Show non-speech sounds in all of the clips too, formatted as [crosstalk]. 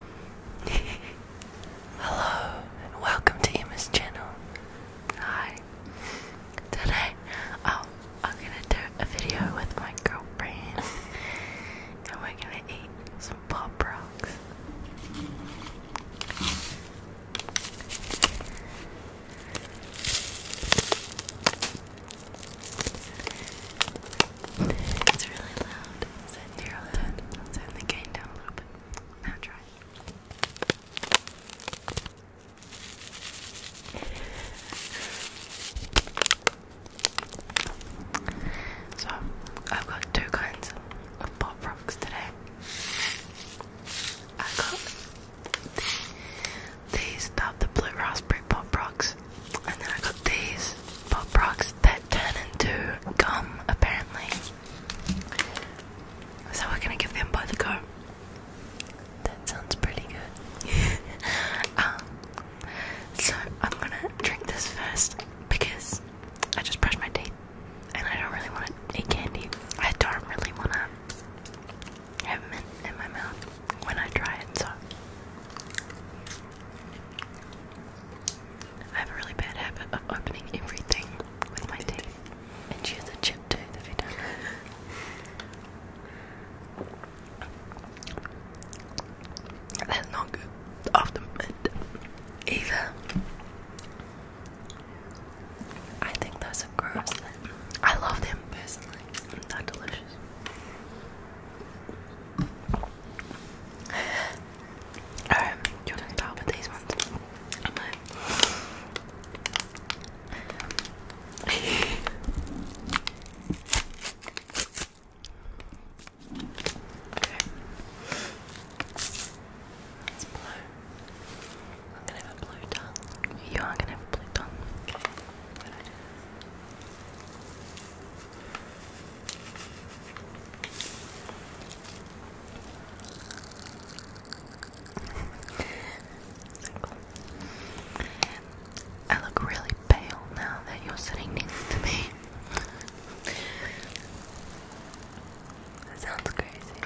[laughs] Hello and welcome to Emma's channel. Hi. Today, um, I'm gonna do a video with my girlfriend [laughs] and we're gonna eat some pop rocks. It's really loud. It's in your head. I'll turn down a little bit. Now try. So, I've got two kinds of pop rocks today. I got these, these, the blue raspberry pop rocks, and then I got these pop rocks that turn into gum, apparently. So we're gonna give them both a go. That sounds pretty good. [laughs] um, so I'm gonna drink this first because I just brushed my teeth and I don't really want to eat candy. I don't really want to have mint in my mouth when I try it, so I have a really bad habit of opening everything with my teeth. And she has a chip tooth if you don't know. That's not good after mint either. I think those are gross. I love them personally. they delicious. [laughs] Um, you're doing bad with gonna have a blue tongue. You are gonna have a blue tongue. I look really pale now that you're sitting next to me. that sounds crazy.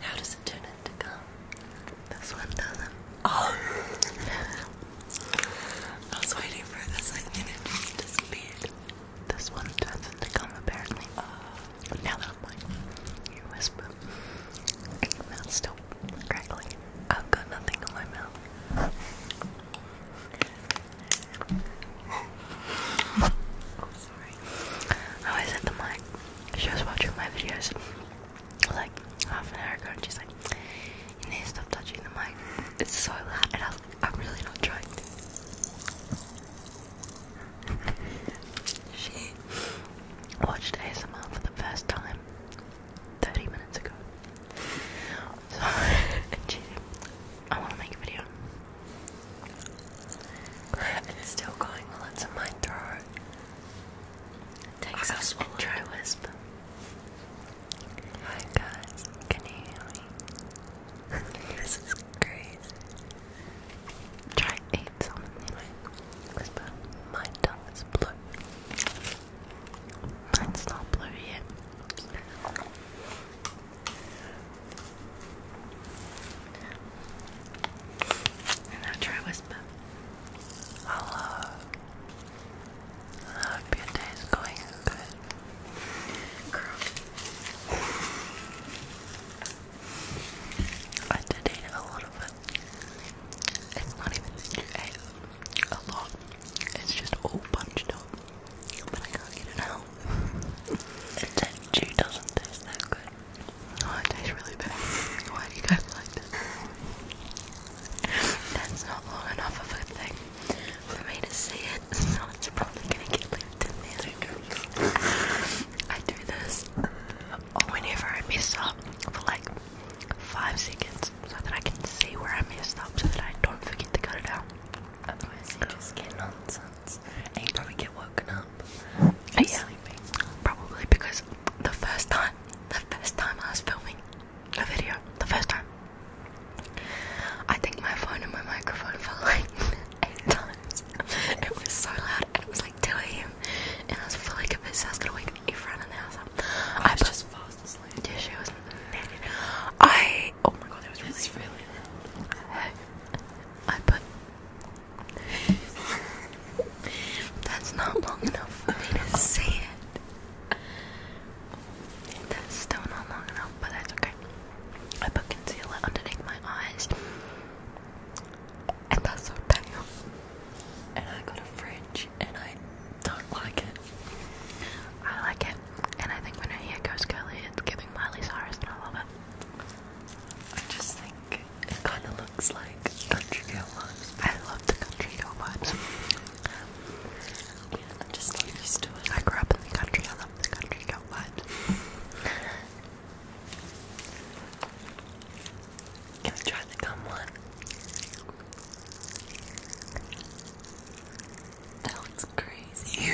How does it turn into gum? This one doesn't. Oh! I was waiting for this like to speed. This one turns into gum apparently. Oh. Hello, my ear whisper. My mouth's still crackling. I've got nothing in my mouth. Oh, sorry. I always hit the mic. She was watching my videos like half an hour ago and she's like, You need to stop touching the mic. It's so loud. And I was like, I'm really not trying to she watched ASMR for the first time 30 minutes ago. So, [laughs] I want to make a video. it's still going well, it's in my throat. It takes us a try Hi guys, can you hear me? [laughs] this is crazy. Try eat some anyway. Because my tongue is Mine's not blue yet. And now try whisper. Hello. I hope your day is going good. Girl. I did eat a lot of it. It's not even that you ate a lot, it's just all bunched up. But I can't get it out. [laughs] It that doesn't taste that good. No, it tastes really bad. Why do you guys like this? That's not long enough of a thing for me to see it, so it's probably gonna get left in there. I do this uh, whenever I mess up for like five seconds so that I can see where I messed up so that I don't forget to cut it out. Otherwise you just get nonsense and you probably get woken up. Yeah, sleeping. probably because the first time, the first time I was filming the video, the first time, I think my phone and my microphone [laughs] fell like eight times. [laughs] It was so loud, and it was like 2 a.m. And I was fully convinced I was gonna wake everyone in the house up. I, was just fast asleep. Yeah, she was mad. I oh my god, it was really, really loud. I put. That's not long enough for me to see it. That's still not long enough, but that's okay. I put concealer underneath my eyes, and that's so pale. And I got a fridge, and I don't like it. I like it, and I think when her hair goes curly, it's giving Miley Cyrus, and I love it. I just think it kind of looks like country girl vibes. I love the country girl vibes. Yeah, I'm just not used to it. I grew up in the country. I love the country girl vibes. Let's try the gum one. That looks crazy.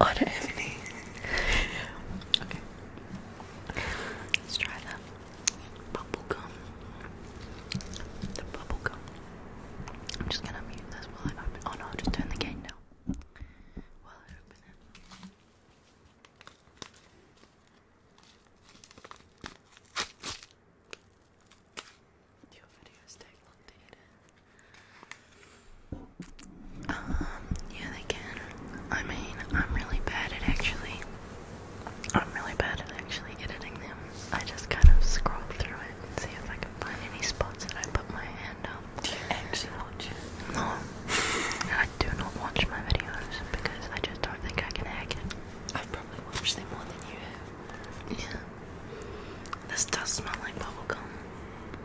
On oh, any. [laughs] okay. Let's try that bubblegum. The bubblegum. I'm just gonna mute this while I open. Oh no, just turn the gate now. While I open it. Your videos take long to Um, yeah, they can. I mean, I'm really bad at actually I'm really bad at actually editing them. I just kind of scroll through it and see if I can find any spots that I put my hand up. Do you actually watch it? No. I do not watch my videos because I just don't think I can hack it. I've probably watched them more than you have. Yeah. This does smell like bubblegum.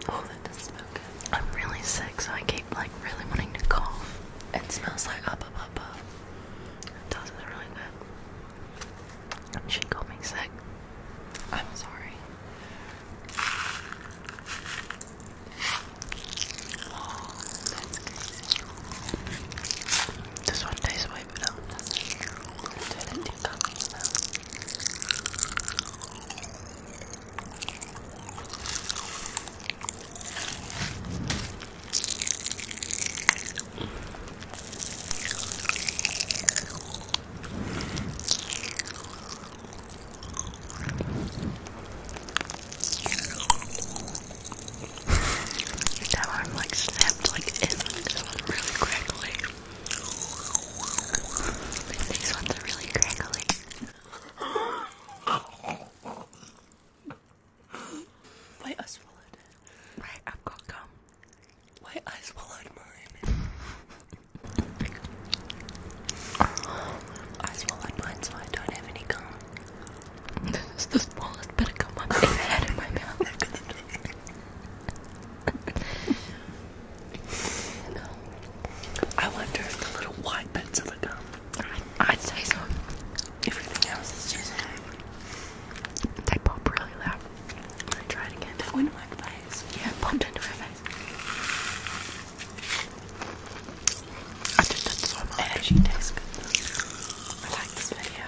Oh, that does smell good. I'm really sick, so I keep like really wanting to cough. It smells like upper does uh, is really good. She called me sick. I'm sorry. This one tastes way better. That one like snapped like this one, this one really crackly. But these ones are really crackly. Wait, I swallowed it. Right, I've got gum. Wait, I swallowed mine. I swallowed mine, so I don't have any gum. This is the smallest bit of gum I've ever had in my mouth. [laughs] I wonder if the little white bits of the gum. I'd, I'd say so. Everything else is just they pop really loud. i try it again. That went in my face. Yeah, popped into my face. I did that so much. tastes good I like this video.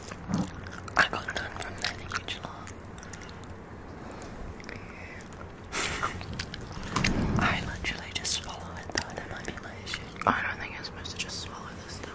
I got done from that huge laugh. I literally just swallow it though, that might be my issue. I don't think I'm supposed to just swallow this stuff.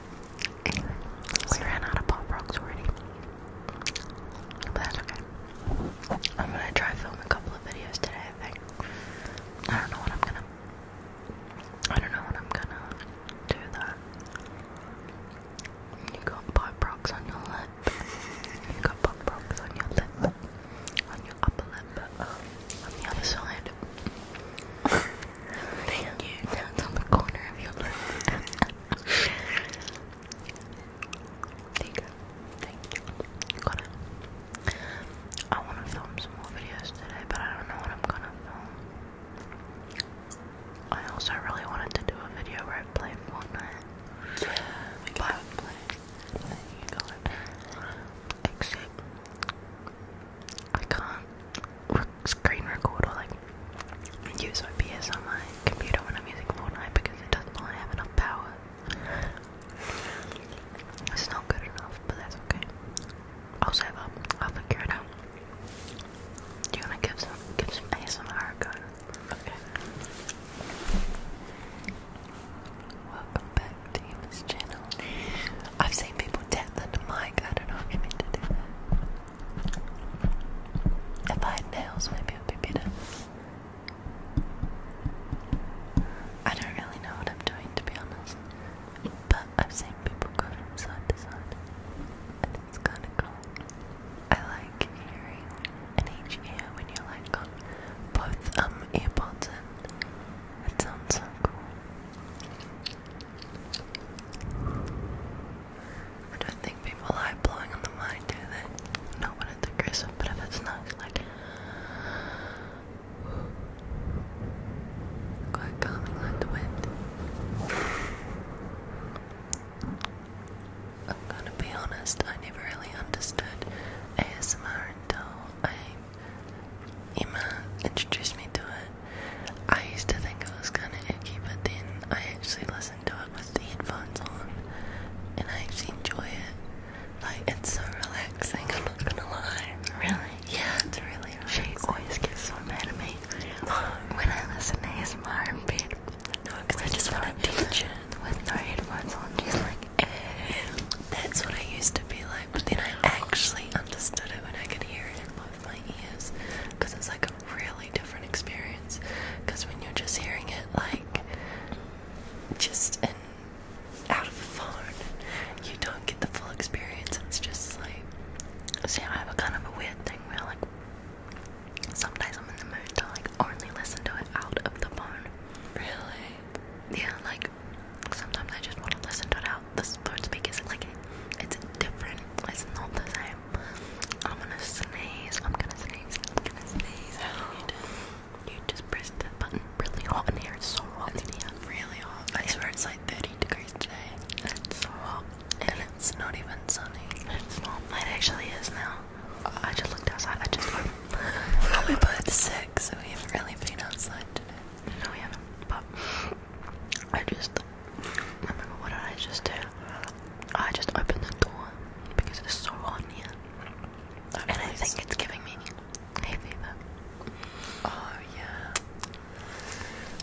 we ran out of pop rocks already. But that's okay. I'm gonna try filming a couple of videos today, I think. I don't know what I'm gonna I don't know what I'm gonna do that. You got pop rocks on your lip. You got pop rocks on your lip. On your upper lip, um, on the other side. Thank you. That's on the corner of your lip. there you Thank you. Got it. I want to film some more videos today, but I don't know what I'm gonna film. I also really wanted to do a video where I play Fortnite. Yeah, but play. There you go. Except I can't screen record or use OBS on my computer when I'm using Fortnite because it doesn't really have enough power. It's not good enough, but that's okay. i I'll figure it Do you want to give some give some ASMR Okay. Welcome back to Emma's channel. I've seen people tap the mic. I don't know if you meant if I had nails, maybe it would be better. I don't really know what I'm doing, to be honest. But I've seen people go from side to side, and it's kind of cool. I like hearing in each ear when you're like got both um earbuds and It sounds so cool. I don't think people like blowing on the mic, do they? Not when it's aggressive, but if it's nice, like quite calming like the wind. I'm gonna be honest, I never really understood ASMR until I Emma introduced me to it I used to think it was kind of icky, but then I actually listened to it with the headphones on, and I actually enjoy it. Like it's so relaxing. I'm not gonna lie. Really? Yeah, it's really. Relaxing. She always gets so mad at me [gasps] when I listen to ASMR in bed. No, because I just want to teach it with no headphones on. She's like, eh. that's what I used to be like, but then I actually understood it when I could hear it in both my ears, because it's like a really different experience because when you're just hearing it like just out of the phone, you don't get the full experience. It's just like see, I have a kind of a weird thing where like sometimes I'm in the mood to like only listen to it out of the phone. Really? Yeah, like sometimes I just want to listen to it out. The phone speakers like it's different. It's not the same. I'm gonna sneeze. I'm gonna sneeze. I'm gonna sneeze. How you do? You just press the button really hot in here. It's so hot it's in here. Really hot. I swear it's like 30 degrees today. It's so hot. And, and it's not even sunny. It's not. It actually is now. I just looked outside. I just. [laughs] We're both sick, so we haven't really been outside today. No, we haven't. But I just I remember what did I just do? I just opened the door because it's so hot here. and I think it's giving me a fever. Oh yeah.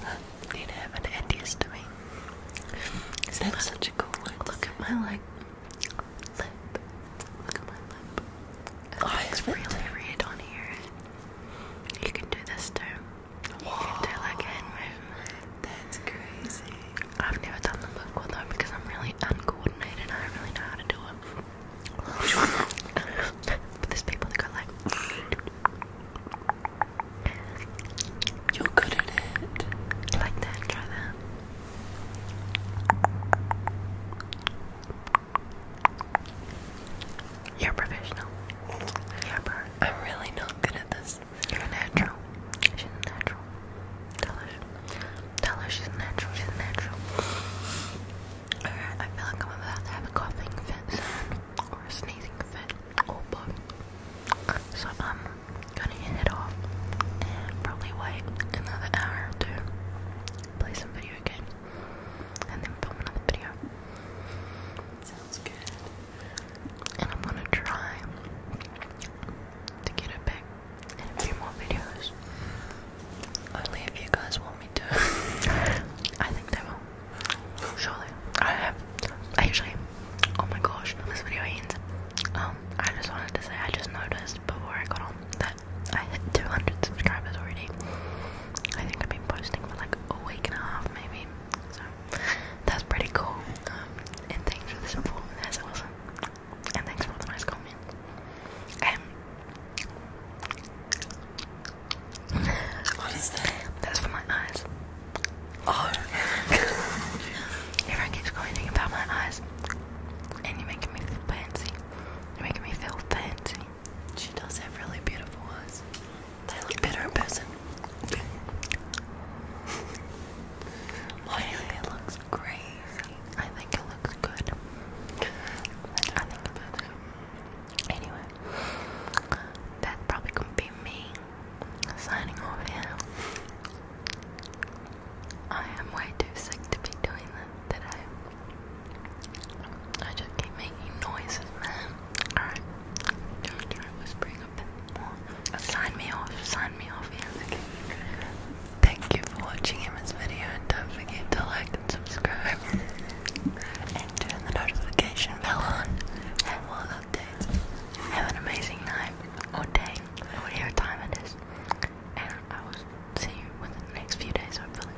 I need to have an antihistamine. Is that such a cool one? Look at my like lip. Look at my lip. Oh, it's really red on here. You can do this too they That's crazy. I've never done them before though because I'm really uncoordinated. I don't really know how to do it. [laughs] but there's people that go like. You're good at it. Like that. Try that. You're professional. Yeah, I'm really not good at this. You're natural. She's natural. Tell her. Tell her she's natural. She's natural. Alright, I feel like I'm about to have a coughing fit or a sneezing fit or oh, both. So i gonna hit off and probably wait another hour or two, play some video games, and then film another video. Sounds good and I'm gonna try to get it back in a few more videos. Only if you guys want me to. [laughs] I think they will. Surely. I have. Actually, oh my gosh, this video ends. Um, I just wanted to say I just noticed before I got on that I hit 200 subscribers already. I think I've been posting for like a week and a half maybe. So that's pretty cool. Um, and thanks for the support. That's awesome. And thanks for the nice comment. Um, what is that? That's for my eyes. Oh. Everyone keeps complaining about my eyes, and you're making me feel fancy. You're making me feel fancy. She does have really beautiful eyes. They look better in person. My looks crazy. I think it looks good. I think it good. Anyway, that's probably gonna be me signing off here. I am way too sick to be doing that today. I just keep making noises, man. Alright. Try, try whispering a bit more. sign me off. Sign me off. Yeah. Thank you for watching Emma's video and don't forget to like and subscribe. and turn the notification bell on for more updates. Have an amazing night or day or whatever time it is. And I will see you within the next few days hopefully.